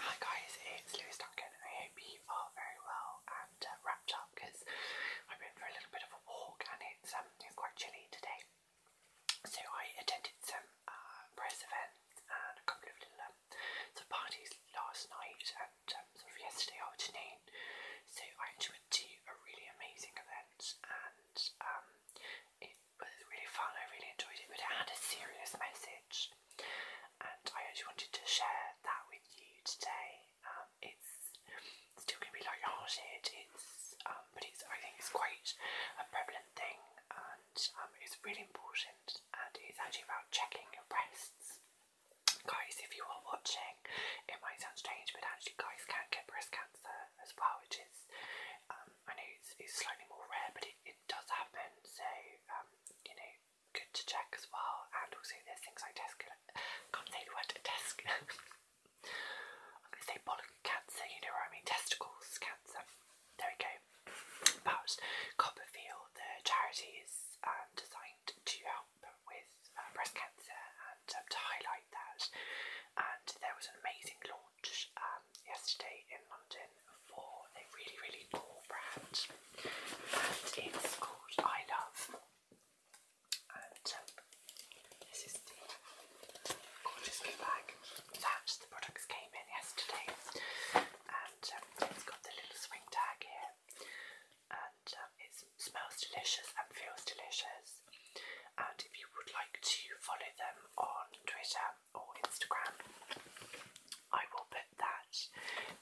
Hi guys, it's Louise Duncan. I hope you are very well and uh, wrapped up because I went for a little bit of a walk and it's, um, quite chilly today. So I attended some uh, press events and a couple of little um, sort of parties last night and um, sort of yesterday afternoon. So I actually a really amazing event and um, it was really fun. I really enjoyed it, but it had a serious message. And I actually wanted to share that with you today. Um, it's still going to be like hearted it's, um, but it's I think it's quite a prevalent thing, and um, it's really important. And it's actually about checking your breasts, guys. If you are watching, it might sound strange, but actually, guys can get breast cancer as well, which is I know it's, slightly more rare, but it, does happen, so um, you know, good to check as well. And also, there's things like desk. I'm gonna say bollock cancer. You know what I mean? Testicles cancer. There we go. But Copperfield, the charity, is um, designed to help with uh, breast cancer and um, to highlight that. And there was an amazing launch yesterday in London for a really, really cool brand, and it's called I Love. And um, this is the gorgeous bag that the products came in yesterday, and um, it's got the little swing tag here, and um, it smells delicious and feels delicious. And if you would like to follow them on Twitter, or Instagram. I will put that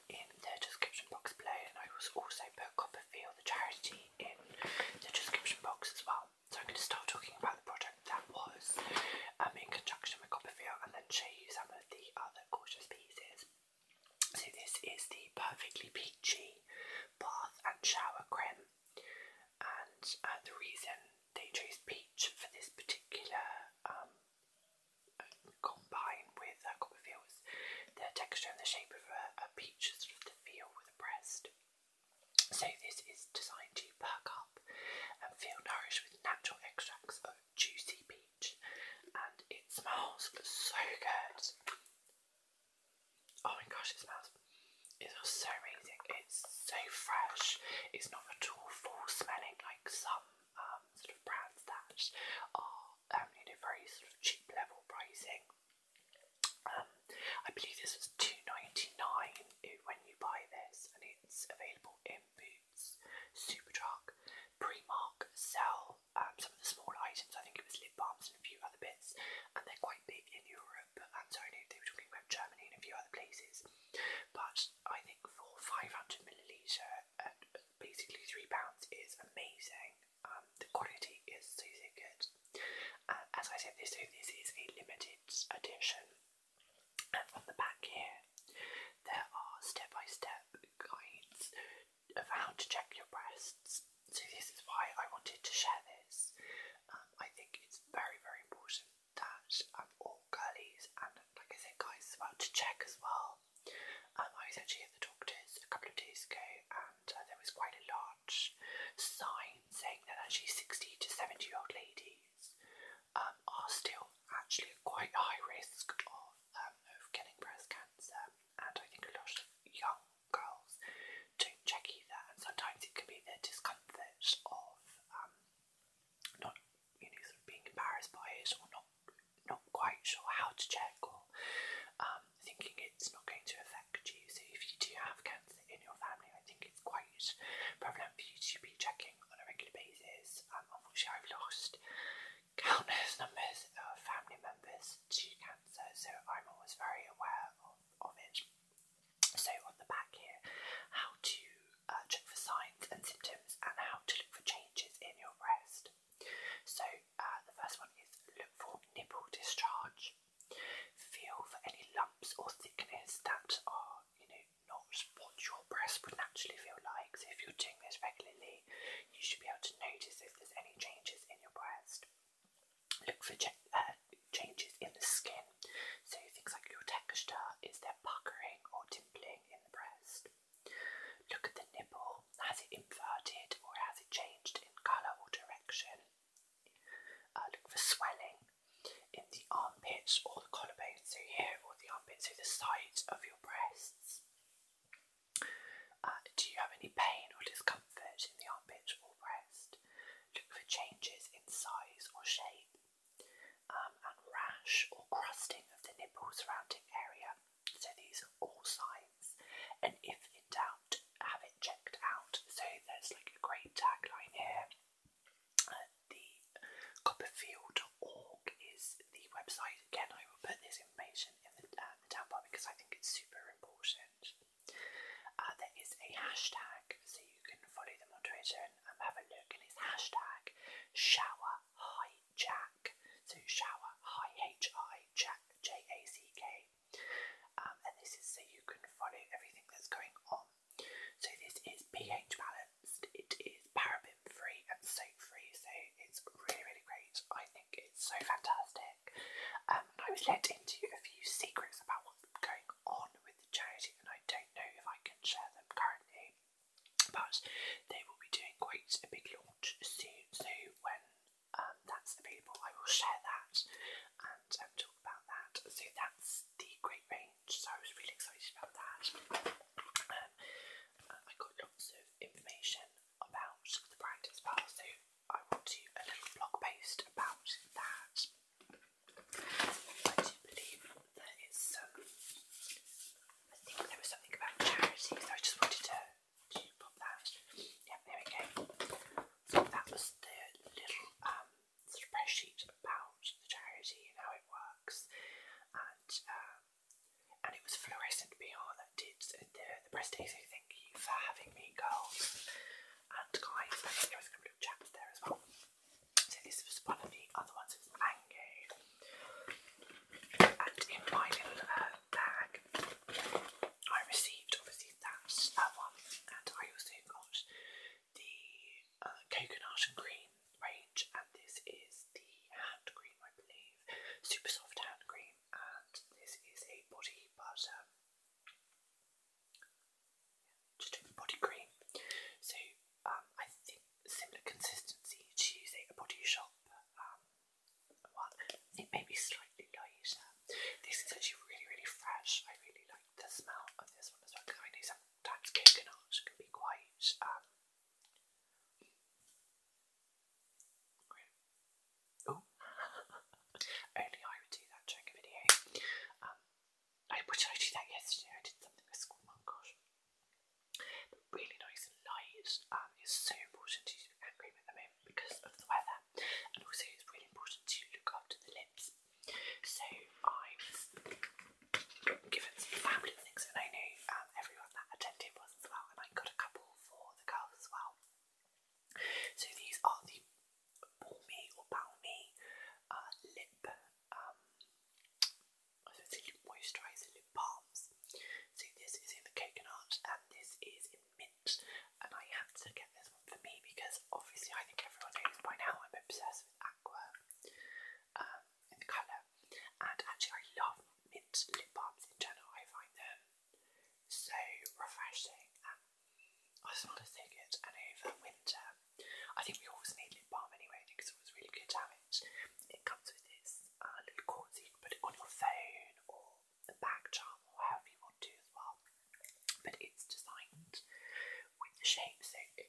in the description box below, and I will also put Copperfield, the charity, in the description box as well. So I'm going to start talking about the product that was um, in conjunction with Copperfield and then show you some of the other gorgeous pieces. So this is the Perfectly Peachy Bath and Shower Cream. And uh, the reason they chose peach for this particular um, combine with uh, Copperfields, the texture and the shape of a, peach, sort of feel with a breast. So this is designed to perk up and feel nourished with natural extracts of juicy peach, and it smells so good. Oh my gosh, it smells it's so amazing. It's so fresh. It's not at all full smelling like some um, sort of brands that are um, you very sort of cheap level pricing. Um, I believe this was two ninety nine when you buy this, and it's available in Boots, Superdrug, Primark, Sell, um, some of the small items. I think it was lip balms and a few other bits, and they're quite in Europe, and sorry, no, they were talking about Germany and a few other places. But I think for 500 milliliter basically three pounds is amazing. Um, the quality is so good. as I said, this this is a limited edition, on the back here there are step-by-step guides of how to check your breasts. So this is why I wanted to share this. Um, I think it's very very important that I'm all girlies, and like I said, guys, about to check as well. Um, I was actually at the doctor's a couple of days ago, and uh, there was quite a large sign saying that actually 60 to 70 year old ladies um, are still actually at quite high risk of, um, of getting breast cancer, and I think a lot of young girls to check either, and sometimes it can be the discomfort of um, not, you know, sort of being embarrassed by it or not not quite sure how to check or um, thinking it's not going to affect you. So if you do have cancer in your family, I think it's quite prevalent for you to be checking on a regular basis. Um, unfortunately, I've lost countless numbers of family members to cancer, so I'm always very aware of, of it. So on the back here, how to uh, check for signs and symptoms and how to look for changes in your breast. So uh, the first one is look for nipple discharge. Feel for any lumps or thickness that are, you know, not what your breast would naturally feel like. So if you're doing this regularly, you should be able to notice if there's any changes in your breast. Look for uh, changes in the skin, so things like your texture, is there puckering or dimpling in the breast? Look at the nipple, has it inverted or has it changed in colour or direction? Uh, look for swelling in the armpits or the collarbone, so here or the armpits, so the sides of your breasts. Uh, do you have any pain or discomfort in the armpit or breast? Look for changes in size or shape um, and rash or crusting of the nipple surrounding area. So these are all signs. And if in doubt, have it checked out. So there's like a great tagline here. Uh, the Copperfield.org is the website. Again, I will put this information in the, uh, down bar because I think it's super important. Uh, there is a hashtag, so you can follow them on Twitter and um, have a look, and it's hashtag shower hijack. So shower hi Jack J A C K. Um, and this is so you can follow everything that's going on. So this is pH balanced, it is paraben free and soap free, so it's really really great. I think it's so fantastic. Um, I was let into a few secrets about what's going on with the charity, and I don't know if I can share them currently. But they will be doing quite a big launch soon, so when um, that's the people, I will share that and um, talk about that. So that's the great range. So I was really excited about that. Um, I got lots of information about the brand as well. So I want to do a little blog post about that. I do believe that it's I think there was something about charity, so I just wanted to, to pop that. Yeah, there we go. that was the little um, spreadsheet about the charity and how it works, and um, and it was fluorescent PR that did the the press day. So thank you for having me, girls. And guys, there was a couple of there as well. So this was one of the other ones, it was mango. And in my little uh, bag, I received obviously that, one, and I also got the uh, coconut and green range, and this is the hand cream, I believe, super soft hand cream, and this is a body butter just doing body cream. So um, I think similar consistency to using a body shop um, It may be slightly lighter. This is actually really, really fresh. I really like the smell of this one as well because I know sometimes coconut can be quite um, Great. Oh, only I would do that during a video. Um, I, what I do that yesterday? I did something with school. Oh really nice and light. Um, it's so important to cream at the because of the weather, and also it's really important to look after the lips. So I've given some family things, and I know um, everyone that attended was as well, and I got a couple for the girls as well. So these are the Balmy or Balmy uh, lip, um, I was say lip moisturiser, lip balms. So this is in the coconut and this is in mint, and I had to get this one for me because obviously I think everyone knows by now I'm obsessed with aqua um, in the colour, and actually I love mint lip balms in general. I find them so refreshing. Um, I just want to and over winter. I think we always need lip balm anyway because it was really good damage. It comes with this uh, little cord so you can put it on your phone or a back charm or however you want to as well. But it's designed with the shape so it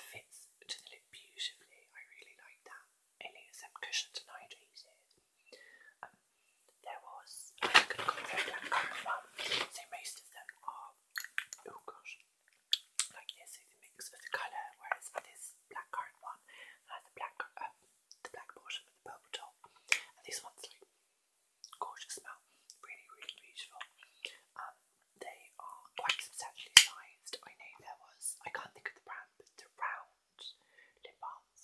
fits to the lip beautifully. I really like that any of them cushions and I uses. Um, there was, I'm going to go very down most of them are, oh gosh, like this, so the mix of the colour, whereas this blackcurrant one has uh, the black, um, the black portion with the purple top, and one's like gorgeous smell, really, really beautiful. Um, they are quite substantially sized. I know there was, I can't think of the brand, but the round around lip balms.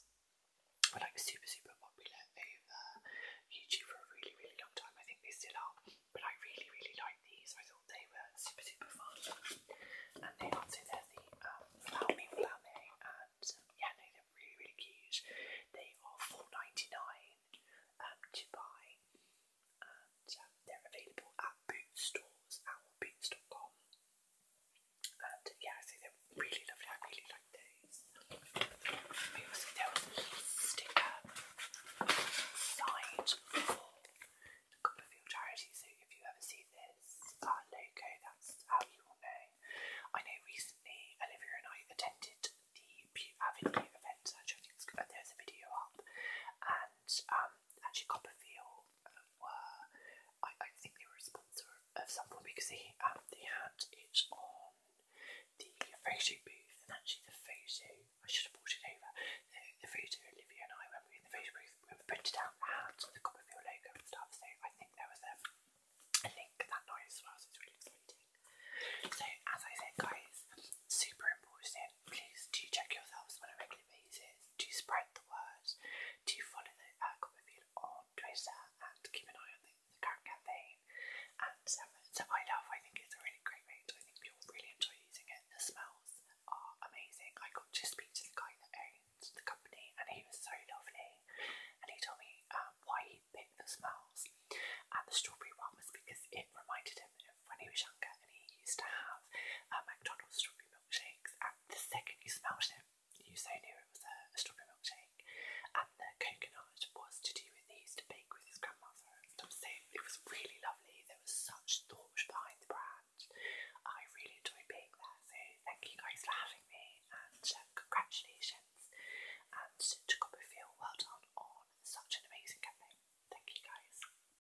But like super, super popular over YouTube for a really, really long time. I think they still are. But I really, really like these. I thought they were super, super fun. And they are, so they're the um, Flame Flame. And yeah, no, they're really, really cute. They are $4.99 um, to buy. And um, they're available at boot stores, owlboot.com. And yeah, so they're really lovely. I really like these. We also there was a sticker signed for the Copperfield charity. So if you ever see this logo, that's how you will know. I know recently Olivia and I attended the Avenue event. Actually, there's a video up, and um, actually Copperfield I, I think they were a sponsor of something because they, um, they had it on the photo booth and actually the photo, I should have brought it over, the, the Olivia and I when were in the photo booth, we printed out had the Copperfield logo and stuff so I think there was a, a link that noise as well it's really exciting. So as I said guys, super important, please do check yourselves on a regular basis to spread the words, to follow the Aquaville on Twitter and keep an eye on the, current campaign. And um, so I love, I think it's a really great range. I think people really enjoy using it. The smells are amazing. I got to speak to the guy that owns the company and he was so lovely. And he told me um, why he picked the smells. And the strawberry one was because it reminded him when he was younger and he used to have uh, McDonald's strawberry milkshakes and the second you smelled it you so knew it was a, strawberry milkshake and the coconut was to do with he used to bake with his grandmother so it was really lovely there was such thought behind the brand I really enjoyed being there so thank you guys for having me and um, congratulations and to Copperfield well done on such an amazing campaign thank you guys